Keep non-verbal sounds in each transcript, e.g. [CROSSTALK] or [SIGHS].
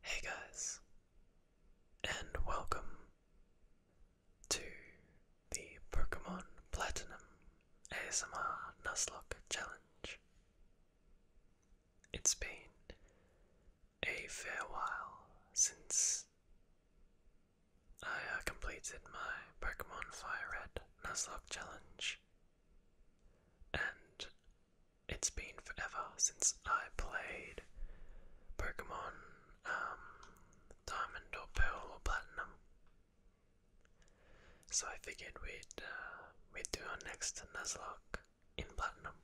Hey guys, and welcome to the Pokemon Platinum ASMR Nuzlocke Challenge. It's been a farewell, since I uh, completed my Pokemon Fire Red Nuzlocke challenge, and it's been forever since I played Pokemon um, Diamond or Pearl or Platinum. So I figured we'd uh, we'd do our next Nuzlocke in Platinum.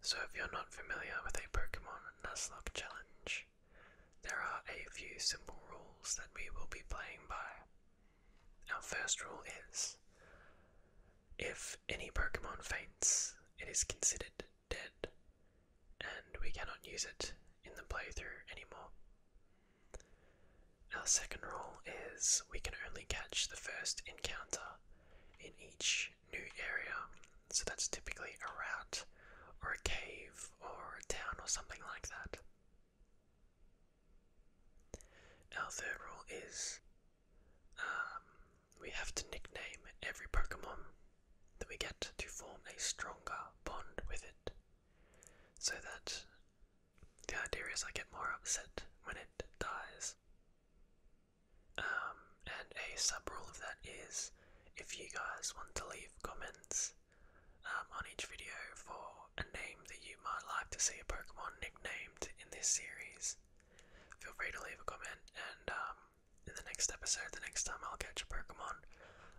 So, if you're not familiar with a Pokemon Nuzlocke challenge, there are a few simple rules that we will be playing by. Our first rule is if any Pokemon faints, it is considered dead, and we cannot use it in the playthrough anymore. Our second rule is we can only catch the first encounter in each new area. So that's typically a route or a cave or a town or something like that. Our third rule is um, we have to nickname every Pokemon that we get to form a stronger bond with it. So that the idea is I get more upset when it dies um, and a sub rule of that is if you guys want to leave comments um, on each video for a name that you might like to see a Pokemon nicknamed in this series, feel free to leave a comment and um, in the next episode, the next time I'll catch a Pokemon,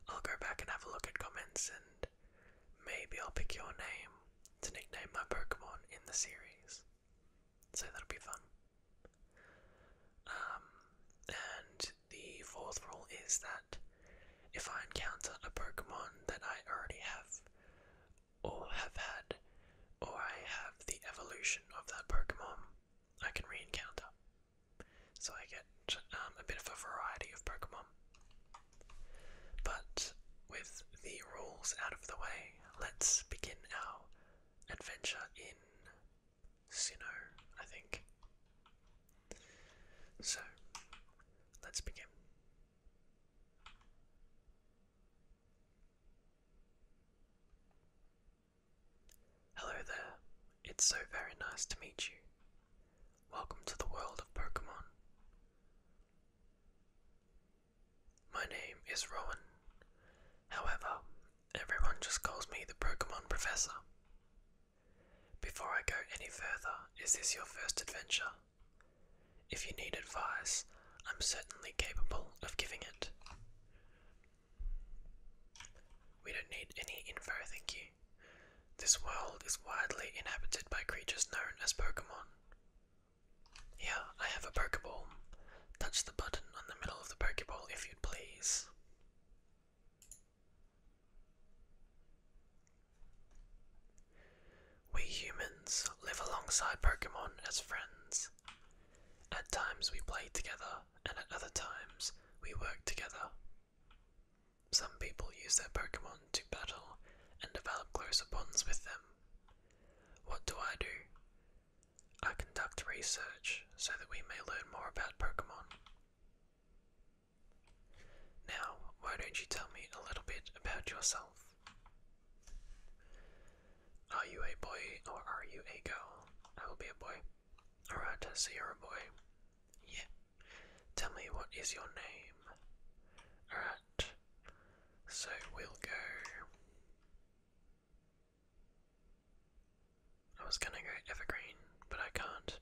I'll go back and have a look at comments and maybe I'll pick your name to nickname my Pokemon in the series. So that'll be fun. Um, and the fourth rule is that if I encounter a Pokemon that I already have, or have had, or I have the evolution of that Pokemon, I can reencounter. So I get um, a bit of a variety of Pokemon. But with the rules out of the way, let's begin our adventure in Sinnoh, I think. So, let's begin. Hello there, it's so very nice to meet you. Welcome to the world of Pokemon. My name is Rowan. However, everyone just calls me the Pokemon Professor. Before I go any further, is this your first adventure? If you need advice, I'm certainly capable of giving it. We don't need any info, thank you. This world is widely inhabited by creatures known as Pokemon. Here, I have a Pokeball. Touch the button on the middle of the Pokeball if you'd please. We humans live alongside Pokemon as friends. At times we play together, and at other times we work together. Some people use their Pokemon to battle and develop closer bonds with them, what do I do? I conduct research so that we may learn more about Pokemon. Now, why don't you tell me a little bit about yourself? Are you a boy or are you a girl? I will be a boy. Alright, so you're a boy. Yeah. Tell me, what is your name? Alright. So we'll go. I was gonna go evergreen, but I can't.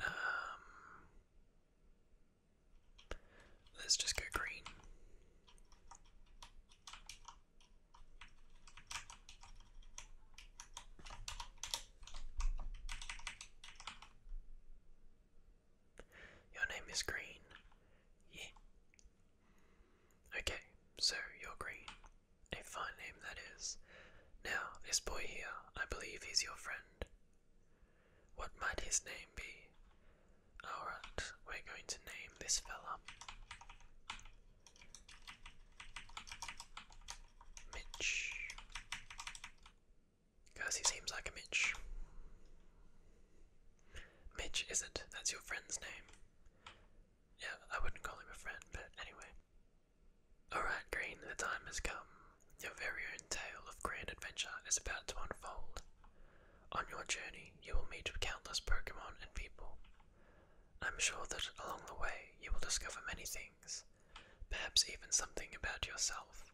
Um, let's just go green. Your name is Green. Yeah. Okay, so you're Green. A fine name that is. Now, this boy here, I believe he's your friend. What might his name be? Alright, we're going to name this fella Mitch. Because he seems like a Mitch. Mitch, is not That's your friend's name. Yeah, I wouldn't call him a friend, but anyway. Alright, Green, the time has come. Your very own tale of grand adventure is about to unfold. On your journey, you will meet countless Pokemon and people. I'm sure that along the way, you will discover many things, perhaps even something about yourself.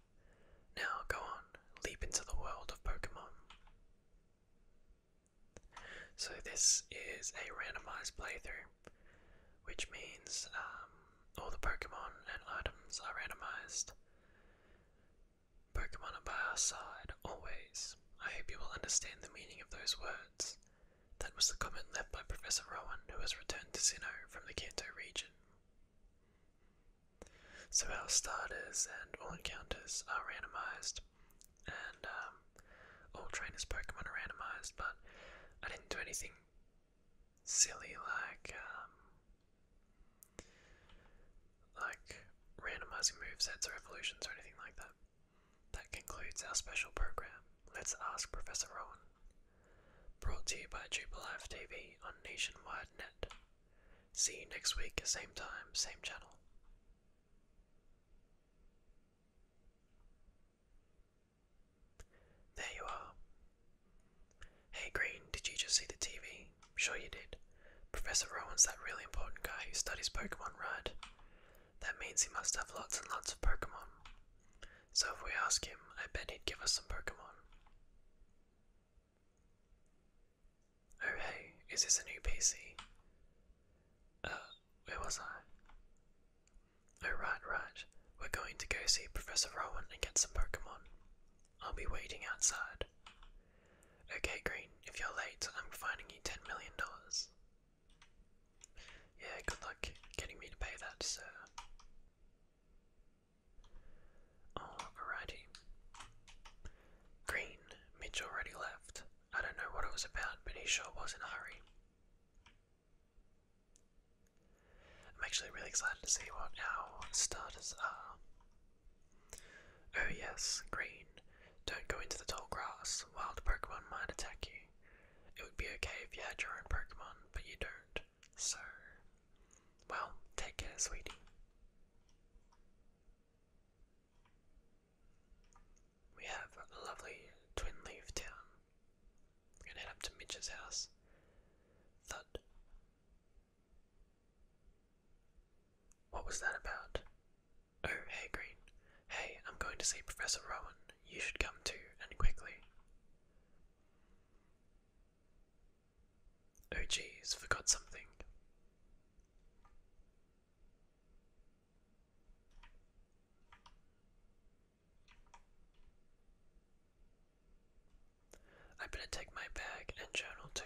Now go on, leap into the world of Pokemon. So this is a randomized playthrough, which means um, all the Pokemon and items are randomized. Pokemon are by our side, always. I hope you will understand the meaning of those words. That was the comment left by Professor Rowan, who has returned to Sinnoh from the Kanto region. So our starters and all encounters are randomized, and um, all trainers Pokemon are randomized, but I didn't do anything silly like um, like randomizing movesets or evolutions or anything like that. That concludes our special program. Let's ask Professor Rowan. Brought to you by Triple F TV on Nationwide Net. See you next week, same time, same channel. There you are. Hey Green, did you just see the TV? Sure you did. Professor Rowan's that really important guy who studies Pokemon, right? That means he must have lots and lots of Pokemon. So if we ask him, I bet he'd give us some Pokemon. Oh hey, is this a new PC? Uh, where was I? Oh right, right. We're going to go see Professor Rowan and get some Pokemon. I'll be waiting outside. Okay, Green, if you're late, I'm finding you ten million dollars. Yeah, good luck getting me to pay that, sir. Oh, alrighty. Green. Mitch already left. I don't know what it was about, but he sure was in a hurry. I'm actually really excited to see what our starters are. Oh yes, green. Don't go into the tall grass. Wild Pokemon might attack you. It would be okay if you had your own Pokemon, but you don't. So well, take care, sweetie. We have a lovely twin leaf town. We're gonna head up to Mitch's house. Thud. What was that about? Oh, hey, Green. Hey, I'm going to see Professor Rowan. You should come too, and quickly. Oh jeez, forgot something. I better take my bag and journal too.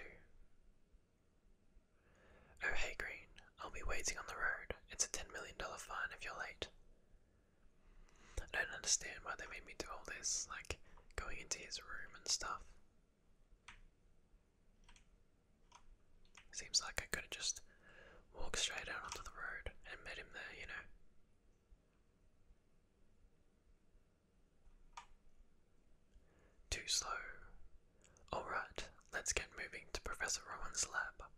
Oh hey Green, I'll be waiting on the road. It's a ten million dollar fine if you're late. I don't understand why they made me do all this, like going into his room and stuff. Seems like I could have just walked straight out onto the road and met him there, you know. Too slow. Alright, let's get moving to Professor Rowan's lab.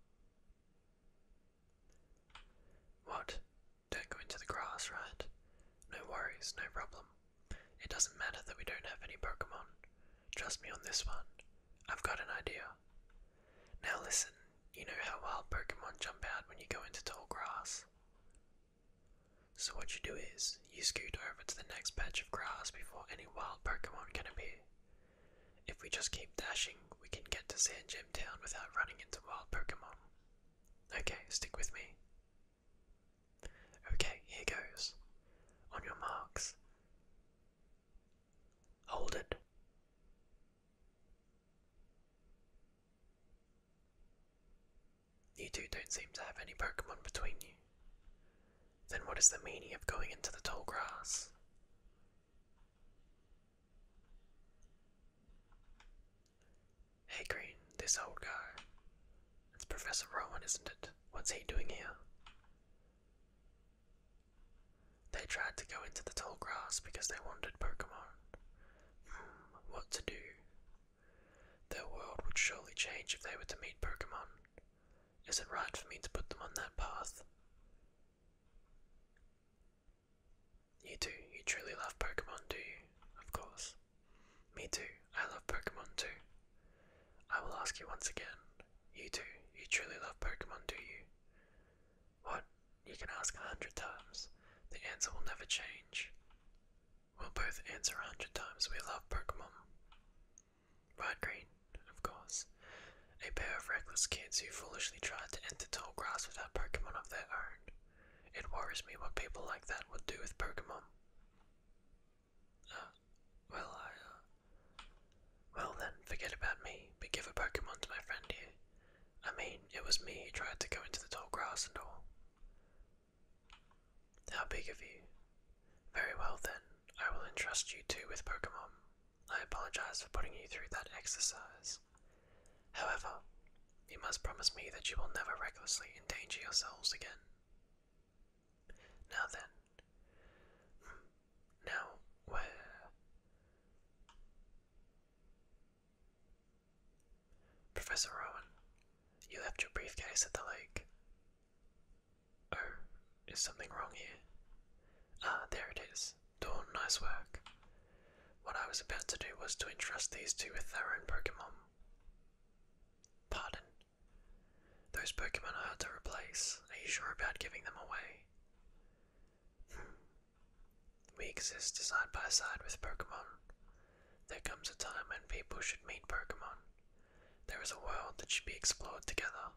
What? Don't go into the grass, right? No worries, no problem. It doesn't matter that we don't have any Pokemon. Trust me on this one. I've got an idea. Now listen, you know how wild Pokemon jump out when you go into tall grass? So what you do is, you scoot over to the next patch of grass before any wild Pokemon can appear. If we just keep dashing, we can get to Sand Gem Town without running into wild Pokemon. Okay, stick with me. Okay, here goes. On your marks. Hold it. You two don't seem to have any Pokemon between you. Then what is the meaning of going into the tall grass? Hey Green, this old guy. It's Professor Rowan, isn't it? What's he doing here? They tried to go into the tall grass because they wanted Pokemon. Hmm, what to do? Their world would surely change if they were to meet Pokemon. Is it right for me to put them on that path? You do, you truly love Pokemon, do you? Of course. Me too, I love Pokemon too. I will ask you once again. You do, you truly love Pokemon, do you? What? You can ask a hundred times. The answer will never change. We'll both answer a hundred times. We love Pokemon. Right, Green, of course. A pair of reckless kids who foolishly tried to enter tall grass without Pokemon of their own. It worries me what people like that would do with Pokemon. Uh, well, I, uh, well then, forget about me, but give a Pokemon to my friend here. I mean, it was me who tried to go into the tall grass and all. How big of you? Very well then, I will entrust you too with Pokemon. I apologize for putting you through that exercise. However, you must promise me that you will never recklessly endanger yourselves again. Now then. Hmm. Now, where? Professor Rowan, you left your briefcase at the lake. Oh, is something wrong here? Ah, there it is. Dawn, nice work. What I was about to do was to entrust these two with their own Pokemon. Pardon? Those Pokemon I had to replace. Are you sure about giving them away? Hmm. We exist side by side with Pokemon. There comes a time when people should meet Pokemon. There is a world that should be explored together.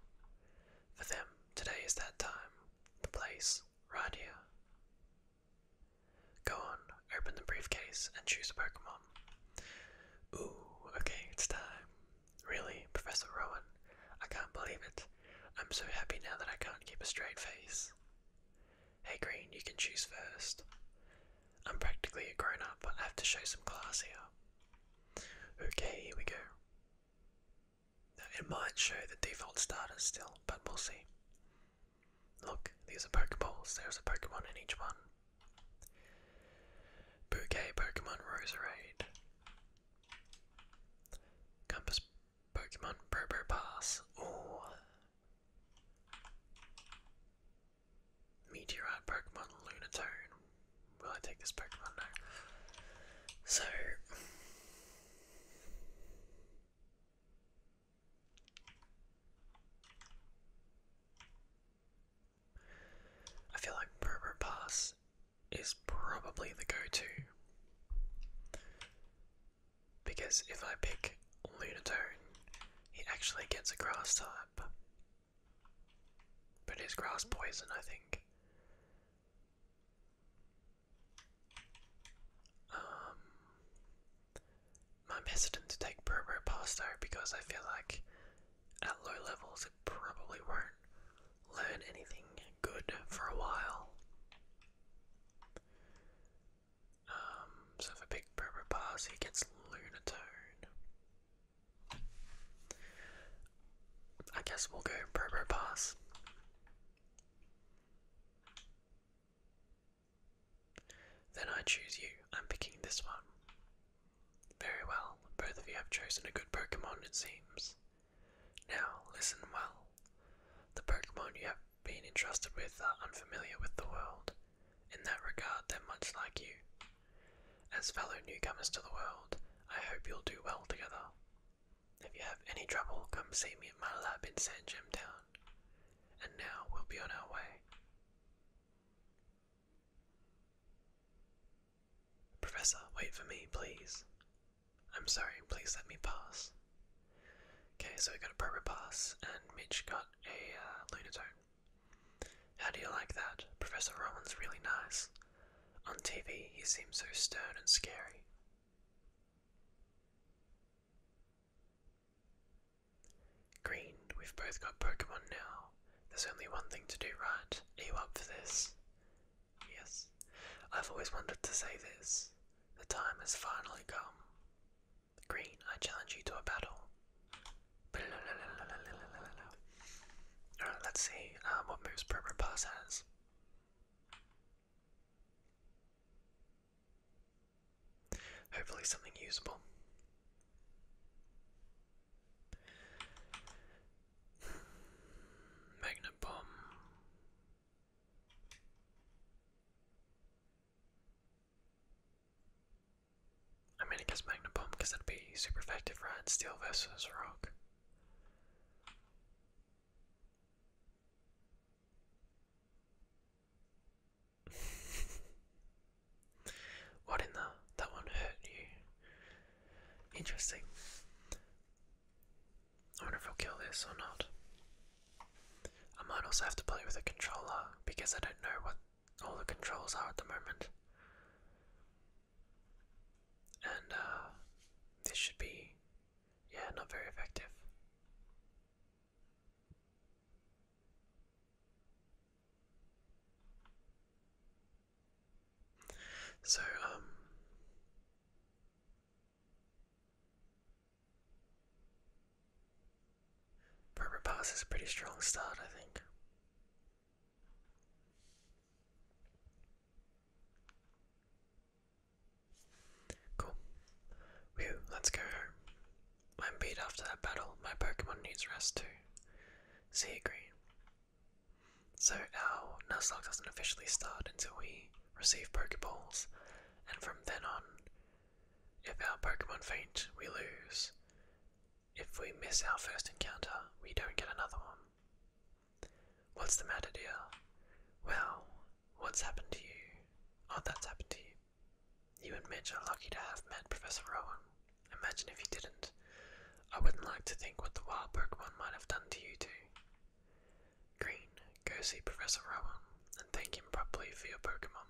For them, today is that time, the place, right here. Go on, open the briefcase and choose a Pokemon. Ooh, okay, it's time. Really, Professor Rowan, I can't believe it. I'm so happy now that I can't keep a straight face. Hey Green, you can choose first. I'm practically a grown up, but I have to show some class here. Okay, here we go. Now, it might show the default starters still, but we'll see. Look, these are Pokeballs. There's a Pokemon in each one. Bouquet Pokemon Roserade. Compass Pokemon Probo Pass. Meteorite Pokemon Lunatone. Will I take this Pokemon? No. So. I feel like Berber Pass is probably the go-to. Because if I pick Lunatone, he actually gets a grass type. But it's grass poison, I think. Um, I'm hesitant to take Berber past though because I feel like at low levels it probably won't learn anything good for a while. Um, so if I Berber pass, he gets Lunatone. I guess we'll go Berber pass. Then I choose you. I'm picking this one. Very well, both of you have chosen a good Pokemon, it seems. Now, listen well. The Pokemon you have been entrusted with are unfamiliar with the world. In that regard, they're much like you. As fellow newcomers to the world, I hope you'll do well together. If you have any trouble, come see me at my lab in Sandgem Town and now we'll be on our way. Professor, wait for me, please. I'm sorry, please let me pass. Okay, so we got a proper pass, and Mitch got a uh, lunar tone. How do you like that? Professor Rowan's really nice. On TV, he seems so stern and scary. Green, we've both got Pokemon now. There's only one thing to do right. Are you up for this? Yes. I've always wanted to say this. The time has finally come. Green, I challenge you to a battle. Alright, let's see um, what moves Probopass has. Hopefully, something usable. Magnet bomb. I mean, I guess Magnet bomb because that'd be super effective, right? Steel versus rock. [LAUGHS] what in the? That one hurt you. Interesting. I wonder if I'll kill this or not. I might also have to play with a controller because I don't know what all the controls are at the moment. And uh, this should be, yeah, not very effective. So, um, Pass is a pretty strong start, I think. Cool. let's go home. I'm beat after that battle. My Pokemon needs rest too. See you, Green. So our Nuzlocke doesn't officially start until we receive Pokeballs, and from then on, if our Pokemon faint, we lose. If we miss our first encounter, we don't get another one. What's the matter, dear? Well, what's happened to you? Oh, that's happened to you. You and Mitch are lucky to have met Professor Rowan. Imagine if you didn't. I wouldn't like to think what the wild Pokemon might have done to you two. Green, go see Professor Rowan and thank him properly for your Pokemon.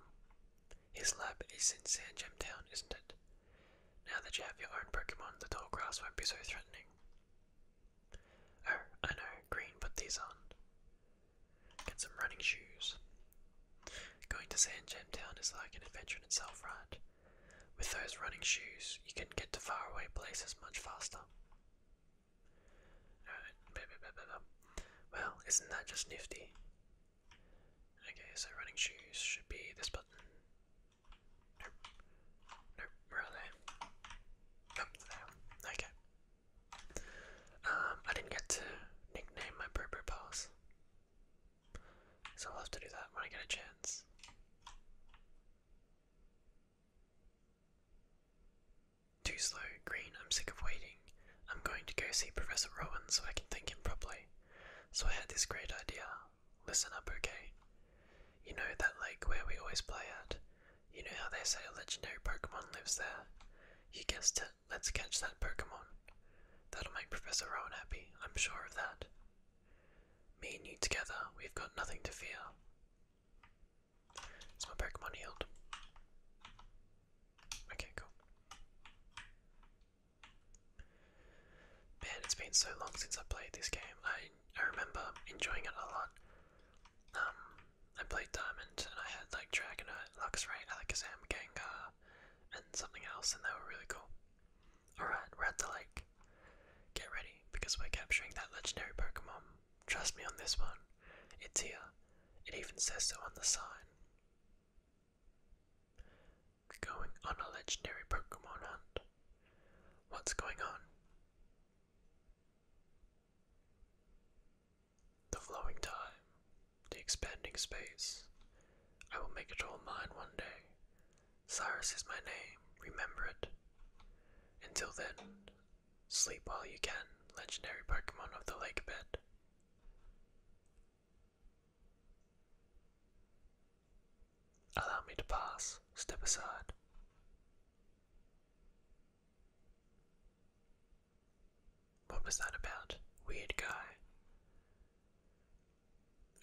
His lab is in Sand Town, isn't it? Now that you have your own Pokemon, the tall grass won't be so threatening. Oh, I know, Green put these on. Get some running shoes. Going to Sand Town is like an adventure in itself, right? With those running shoes, you can get to faraway places much faster. Well, isn't that just nifty? Okay, so running shoes should be this button. Nope. Nope, there. Okay. Um, I didn't get to nickname my Berber paws. So I'll have to do that when I get a chance. Too slow, Green, I'm sick of waiting. I'm going to go see Professor Rowan so I can thank him properly. So I had this great idea. Listen up, okay? You know that lake where we always play at? You know how they say a legendary Pokemon lives there? You guessed it. Let's catch that Pokemon. That'll make Professor Rowan happy, I'm sure of that. Me and you together, we've got nothing to fear. Is my Pokemon healed? Okay, cool. Man, it's been so long since I played this game. I, I remember enjoying it a lot. Um, I played Diamond and I had like Dragonite, Luxray, Alakazam, Gengar, and something else, and they were really cool. Alright, we're at the lake. Get ready, because we're capturing that legendary Pokemon. Trust me on this one. It's here. It even says so on the sign. going on a legendary Pokemon hunt. What's going on? The flowing time, the expanding space. I will make it all mine one day. Cyrus is my name, remember it. Until then, sleep while you can, legendary Pokemon of the lake bed. Allow me to pass, step aside. What was that about? Weird guy.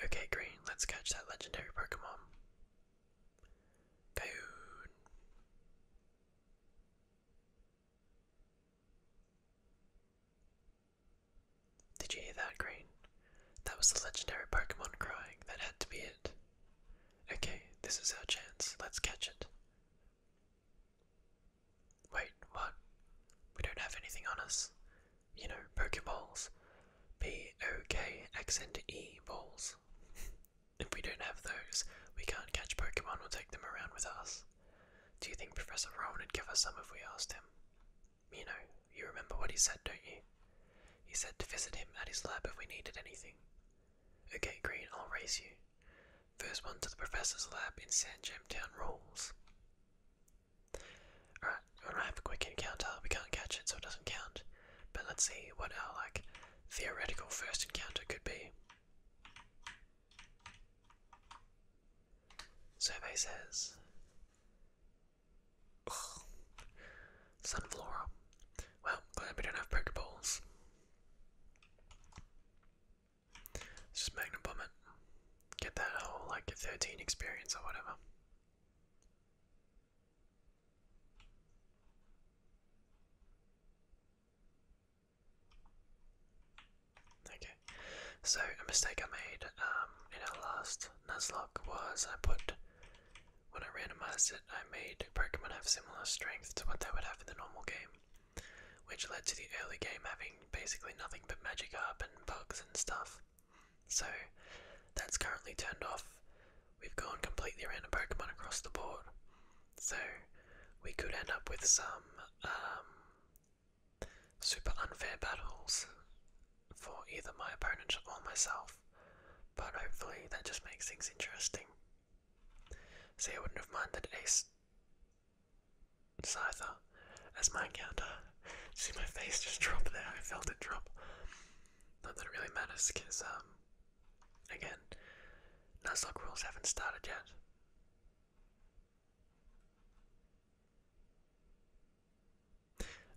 Okay, Green, let's catch that legendary Pokemon. Coyote. Did you hear that, Green? That was the legendary Pokemon crying. That had to be it. Okay, this is our chance. Let's catch it. Wait, what? We don't have anything on us. You know, Pokeballs. P O K accent E balls. [LAUGHS] if we don't have those, we can't catch Pokemon or take them around with us. Do you think Professor Rowan would give us some if we asked him? You know, you remember what he said, don't you? He said to visit him at his lab if we needed anything. Okay, Green, I'll race you. First one to the professor's lab in Sandjamtown Rules. Alright, we're gonna have a quick encounter. We can't catch it, so it doesn't count. But let's see what our like theoretical first encounter could be. Survey says Ugh. Well, glad we don't have Pokeballs just Magnum Bomb it. Get that whole, like, 13 experience or whatever. Okay, so a mistake I made um, in our last Nuzlocke was I put, when I randomized it, I made Pokemon have similar strength to what they would have in the normal game which led to the early game having basically nothing but magic up and bugs and stuff. So that's currently turned off. We've gone completely random Pokemon across the board. So we could end up with some um, super unfair battles for either my opponent or myself. But hopefully that just makes things interesting. See, I wouldn't have minded Ace Scyther as my counter. See my face just drop there, I felt it drop. Nothing really matters, because, um, again, Nuzlocke rules haven't started yet.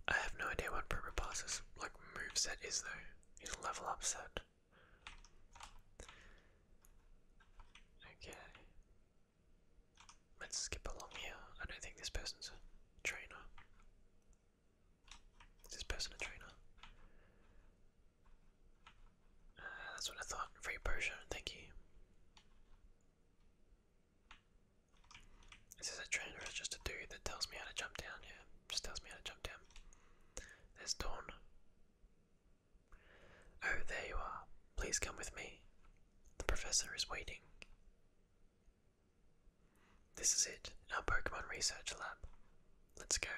I have no idea what Probopass's, like, moveset is, though. He's level up Okay. Let's skip along here. I don't think this person's a trainer. Is this person a trainer? Uh, that's what I thought. Free potion, thank you. Is a trainer or just a dude that tells me how to jump down? Yeah, just tells me how to jump down. There's Dawn. Oh, there you are. Please come with me. The professor is waiting. This is it, our Pokemon research lab. Let's go.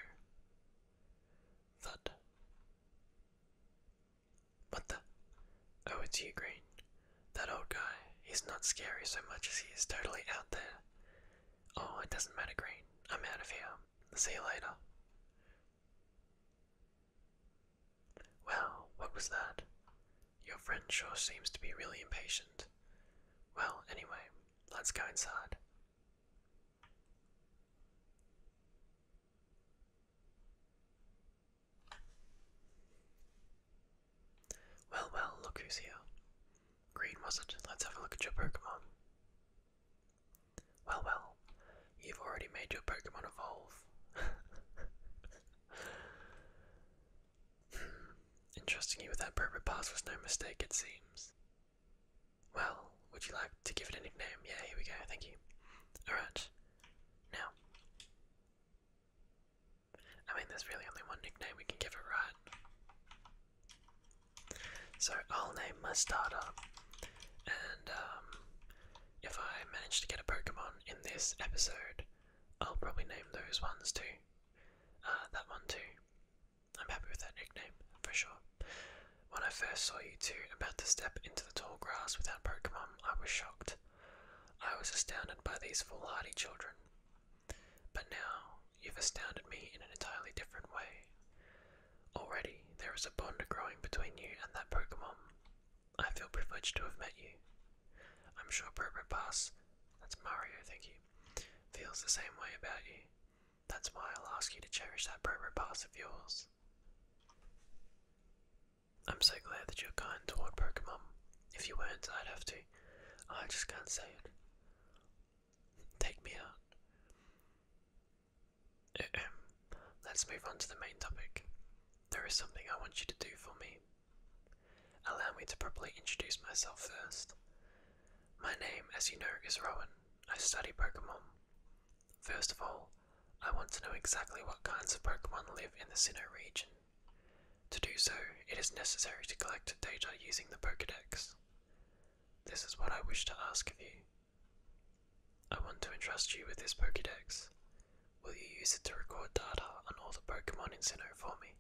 Thud. What the? Oh, it's you, Green. That old guy. He's not scary so much as he is totally out there. Oh, it doesn't matter, Green. I'm out of here. See you later. Well, what was that? Your friend sure seems to be really impatient. Well, anyway, let's go inside. Well, well, look who's here. Green, was not Let's have a look at your Pokemon. Well, well, you've already made your Pokemon evolve. entrusting hmm, you with that private pass was no mistake, it seems. Well, would you like to give it a nickname? Yeah, here we go, thank you. Alright, now. I mean, there's really only one nickname we can give it, right? So I'll name my starter, and um, if I manage to get a Pokemon in this episode, I'll probably name those ones too. Uh, that one too. I'm happy with that nickname, for sure. When I first saw you two about to step into the tall grass without Pokemon, I was shocked. I was astounded by these foolhardy children. But now, you've astounded me in an entirely different way. Already, there is a bond growing between you and that Pokemon. I feel privileged to have met you. I'm sure Pass, that's Mario, thank you, feels the same way about you. That's why I'll ask you to cherish that Pass of yours. I'm so glad that you're kind toward Pokemon. If you weren't, I'd have to. I just can't say it. Take me out. [SIGHS] Let's move on to the main topic. There is something I want you to do for me. Allow me to properly introduce myself first. My name, as you know, is Rowan. I study Pokemon. First of all, I want to know exactly what kinds of Pokemon live in the Sinnoh region. To do so, it is necessary to collect data using the Pokedex. This is what I wish to ask of you. I want to entrust you with this Pokédex. Will you use it to record data on all the Pokemon in Sinnoh for me?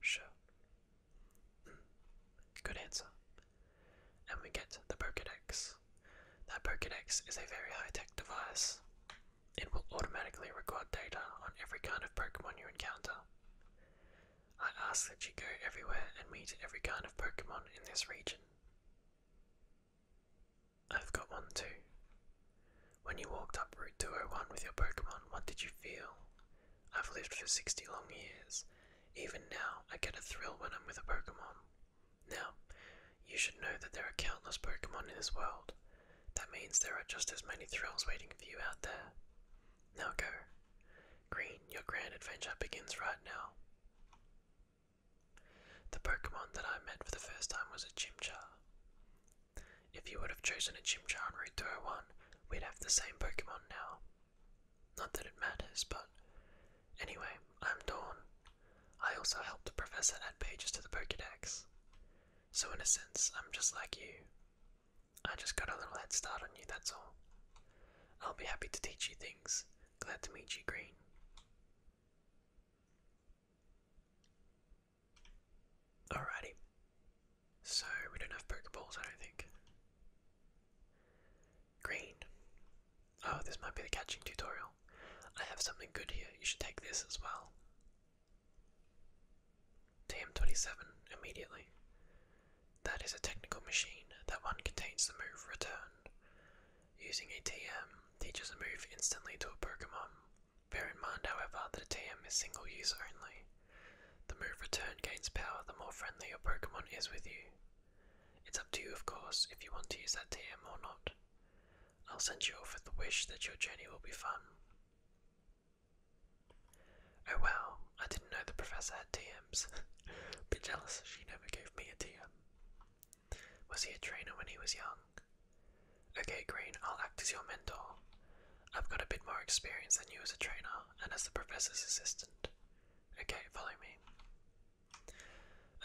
Sure. Hmm. good answer. And we get the Pokédex. That Pokédex is a very high-tech device. It will automatically record data on every kind of Pokemon you encounter. I ask that you go everywhere and meet every kind of Pokemon in this region. I've got one too. When you walked up Route 201 with your Pokemon, what did you feel? I've lived for 60 long years. Even now, I get a thrill when I'm with a Pokemon. Now, you should know that there are countless Pokemon in this world. That means there are just as many thrills waiting for you out there. Now go. Green, your grand adventure begins right now. The Pokemon that I met for the first time was a Chimchar. If you would have chosen a Chimchar on Route 201, we'd have the same Pokemon now. Not that it matters, but anyway, I'm Dawn. I also helped the professor add pages to the Pokedex. So in a sense, I'm just like you. I just got a little head start on you, that's all. I'll be happy to teach you things. Glad to meet you, Green. Alrighty. So, we don't have Pokeballs, I don't think. Green. Oh, this might be the catching tutorial. I have something good here. You should take this as well. TM27, immediately. That is a technical machine. That one contains the move return. Using a TM teaches a move instantly to a Pokemon. Bear in mind, however, that a TM is single use only. The move return gains power the more friendly your Pokemon is with you. It's up to you, of course, if you want to use that TM or not. I'll send you off with the wish that your journey will be fun. Oh wow, I didn't know the professor had TMs. [LAUGHS] Bit jealous she never gave me a TM. Was he a trainer when he was young? Okay, Green, I'll act as your mentor. I've got a bit more experience than you as a trainer and as the professor's assistant. Okay, follow me.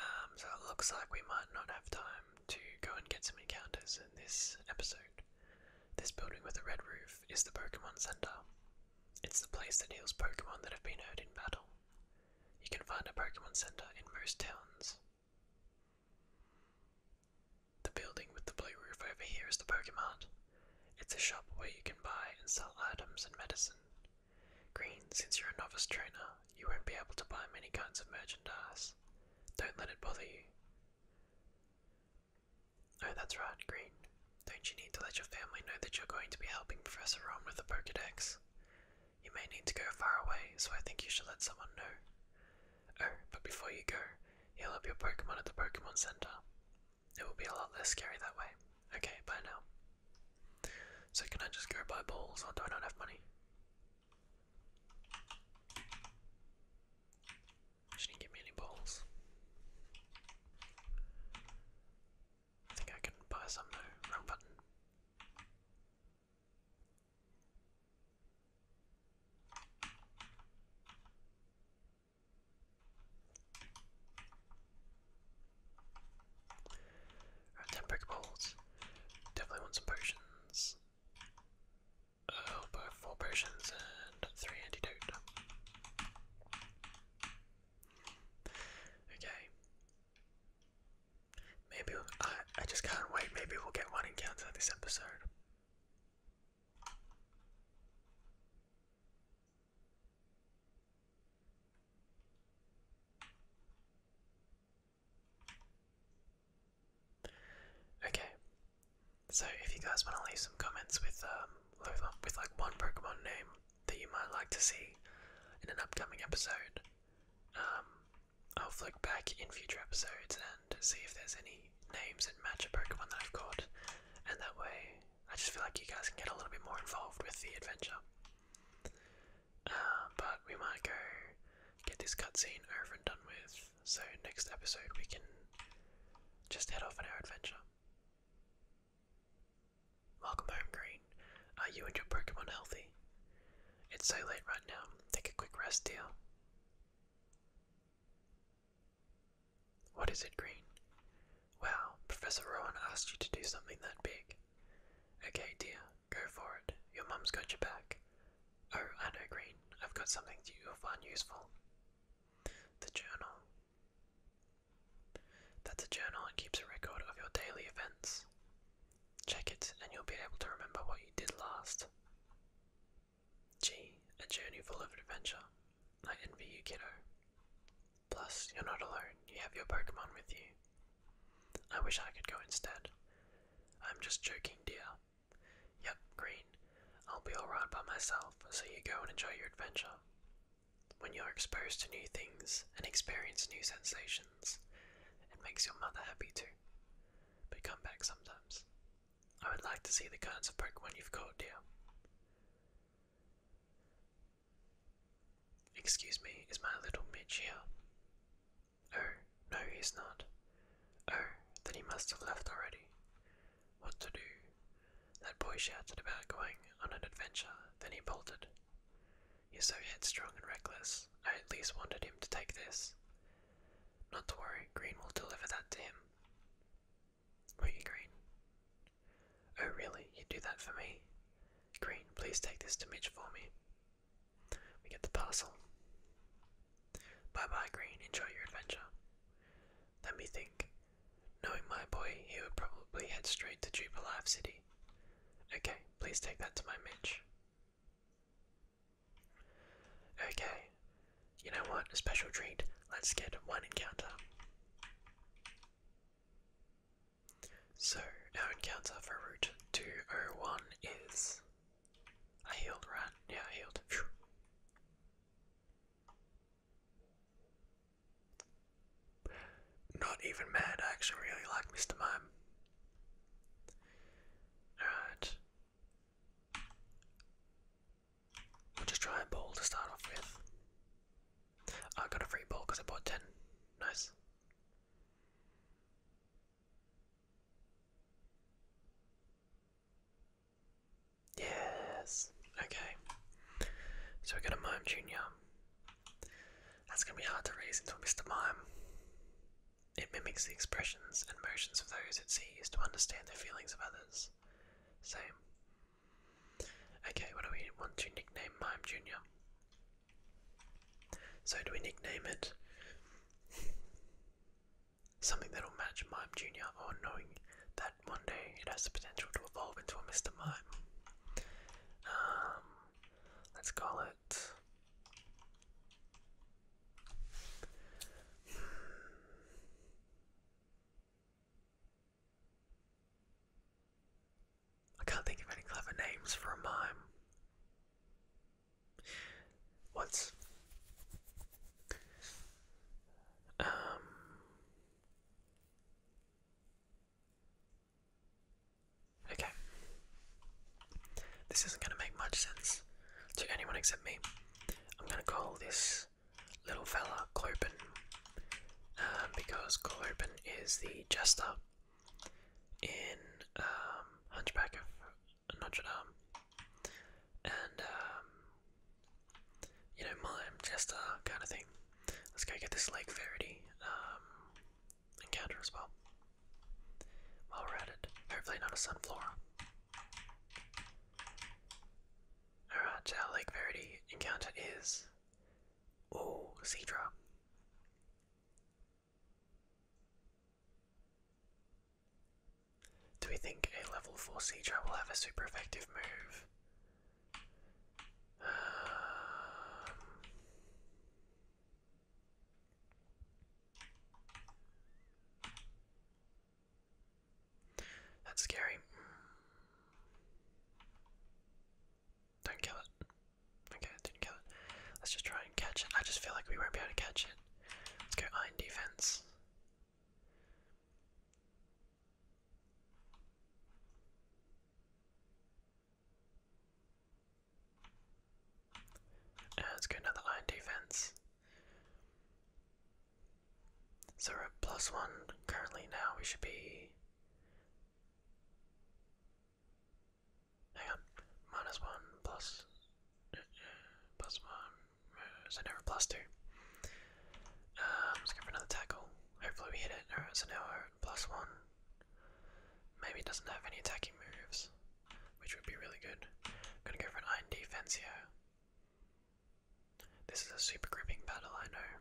Um, so it looks like we might not have time to go and get some encounters in this episode. This building with a red roof is the Pokemon Center. It's the place that heals Pokemon that have been hurt in battle. You can find a Pokemon Center in most towns. The building with the blue roof over here is the Pokémon Pokemart. It's a shop where you can buy and sell items and medicine. Green, since you're a novice trainer, you won't be able to buy many kinds of merchandise. Don't let it bother you. Oh, that's right, Green. Don't you need to let your family know that you're going to be helping Professor Ron with the Pokedex? You may need to go far away, so I think you should let someone know. Oh, but before you go, heal up your Pokemon at the Pokemon Center. It will be a lot less scary that way. Okay, bye now. So, can I just go buy balls, or do I not have money? She not give me balls. I think I can buy some now. Wrong button. Right, 10 Pokeballs. Definitely want some potions. Oh, both 4 potions and 3 antidote. Okay. Maybe I I just can't wait. Maybe we'll get one encounter this episode. Okay. So if you guys want to leave some comments with um with like one Pokemon name, that you might like to see in an upcoming episode. Um, I'll flick back in future episodes and see if there's any names that match a Pokemon that I've caught, and that way I just feel like you guys can get a little bit more involved with the adventure. Uh, but we might go get this cutscene over and done with, so next episode we can just head off on our adventure. Welcome home, Green. Are you and your Pokemon healthy? It's so late right now. Take a quick rest, dear. What is it, Green? Well, Professor Rowan asked you to do something that big. Okay, dear, go for it. Your mum's got your back. Oh, I know, Green. I've got something that you'll find useful. The journal. That's a journal and keeps a record of your daily events. Check it and you'll be able to remember what you did last. Gee, a journey full of adventure. I envy you, kiddo. Plus, you're not alone, you have your Pokemon with you. I wish I could go instead. I'm just joking, dear. Yep, Green. I'll be alright by myself, so you go and enjoy your adventure. When you're exposed to new things and experience new sensations, it makes your mother happy too. But come back sometimes. I would like to see the kinds of Pokemon you've caught, dear. Excuse me, is my little Mitch here? Oh, no, he's not. Oh, then he must have left already. What to do? That boy shouted about going on an adventure, then he bolted. He's so headstrong and reckless. I at least wanted him to take this. Not to worry, Green will deliver that to him. Won't you, Green? Oh, really? you do that for me? Green, please take this to Mitch for me. We get the parcel. Bye bye, Green. Enjoy your adventure. Let me think. Knowing my boy, he would probably head straight to Life City. Okay, please take that to my Mitch. Okay, you know what? A special treat. Let's get one encounter. So, our encounter for Route 201 is. a healed, run. Yeah, healed. Not even mad, I actually really like Mr. Mime. Alright. We'll just try and ball to start off with. I got a free ball because I bought 10. Nice. Yes. Okay. So we got a Mime Junior. That's gonna be hard to raise into a Mr. Mime. It mimics the expressions and motions of those it sees to understand the feelings of others. Same. Okay, what do we want to nickname Mime Junior? So do we nickname it something that'll match Mime Junior or knowing that one day it has the potential to evolve into a Mr. Mime. Um, let's call it. I can't think of any clever names for a mime. What's um Okay. This isn't going to make much sense to anyone except me. I'm going to call this little fella Clopin, um, because Clopin is the jester in um, Hunchback of Notre Dame. And um, you know, mime, jester kind of thing. Let's go get this Lake Verity um, encounter as well. While we're at it, hopefully not a Sunflora. Alright, our Lake Verity encounter is. Oh, Seadra. Do we think a level 4 Seadra will have a super effective move? [SIGHS] That's scary. Don't kill it. Okay, didn't kill it. Let's just try and catch it. I just feel like we won't be able to catch it. Let's go iron defense let's get another line defense. So we're one currently now. We should be. Hang on. Minus one, plus. Uh, uh, plus one. Uh, so never plus two. Um, let's go for another tackle. Hopefully we hit it. Alright, so now one. Maybe it doesn't have any attacking moves, which would be really good. I'm gonna go for an iron defense here. This is a super gripping battle, I know.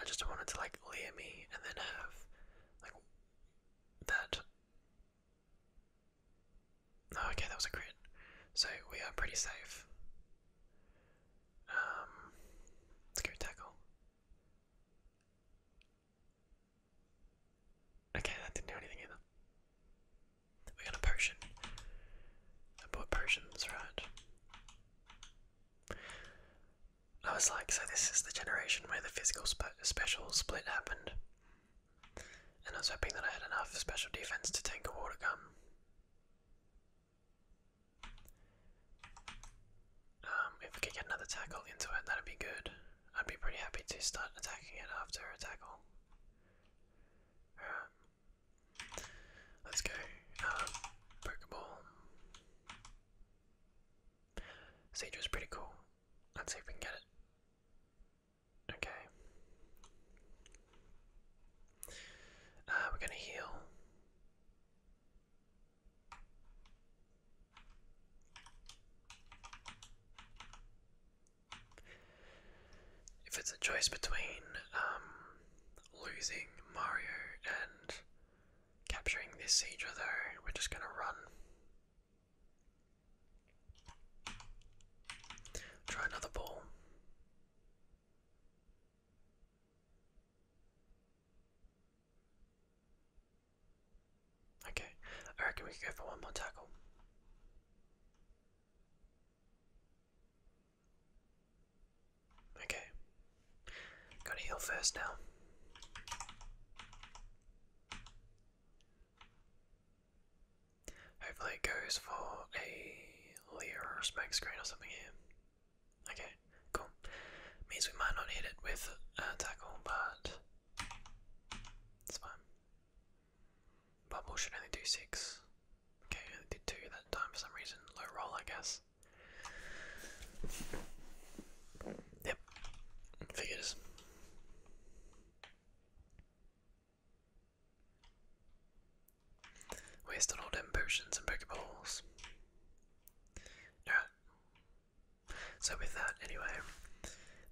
I just wanted to like leer me and then have like that Oh, okay, that was a crit. So we are pretty safe. Um, let's go tackle. Okay, that didn't do anything either. We got a potion. I bought potions, right? I was like, so this is the generation where the physical spe special split happened and I was hoping that I had enough special defense to tank a water gun. Um, if we could get another tackle into it, that'd be good. I'd be pretty happy to start attacking it after a tackle. Um, let's go. Uh, Pokeball. Siege was pretty cool. Let's see if we can get it. Okay. Uh, we're going to heal. If it's a choice between um, losing Mario and capturing this siege, though, we're just going to run. Try another ball. Okay, I reckon we can go for one more tackle. Okay, gotta heal first now. Hopefully it goes for a Lear or smoke screen or something here. Okay, cool. Means we might not hit it with tackle, but it's fine. Bubble should only do six. Okay, only did two that time for some reason. Low roll, I guess. Yep, figures. Wasted all them potions and pokeballs. Alright. So with that, anyway,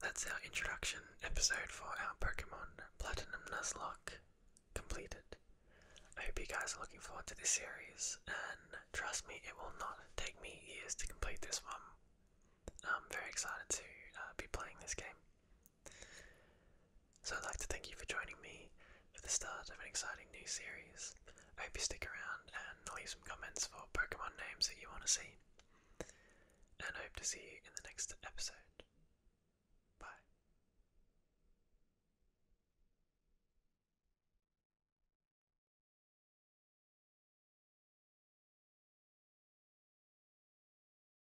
that's our introduction episode for our Pokemon Platinum Nuzlocke completed. I hope you guys are looking forward to this series, and trust me, it will not take me years to complete this one. I'm very excited to uh, be playing this game. So I'd like to thank you for joining me for the start of an exciting new series. I hope you stick around and leave some comments for Pokemon names that you want to see. And I hope to see you in the next episode. Bye.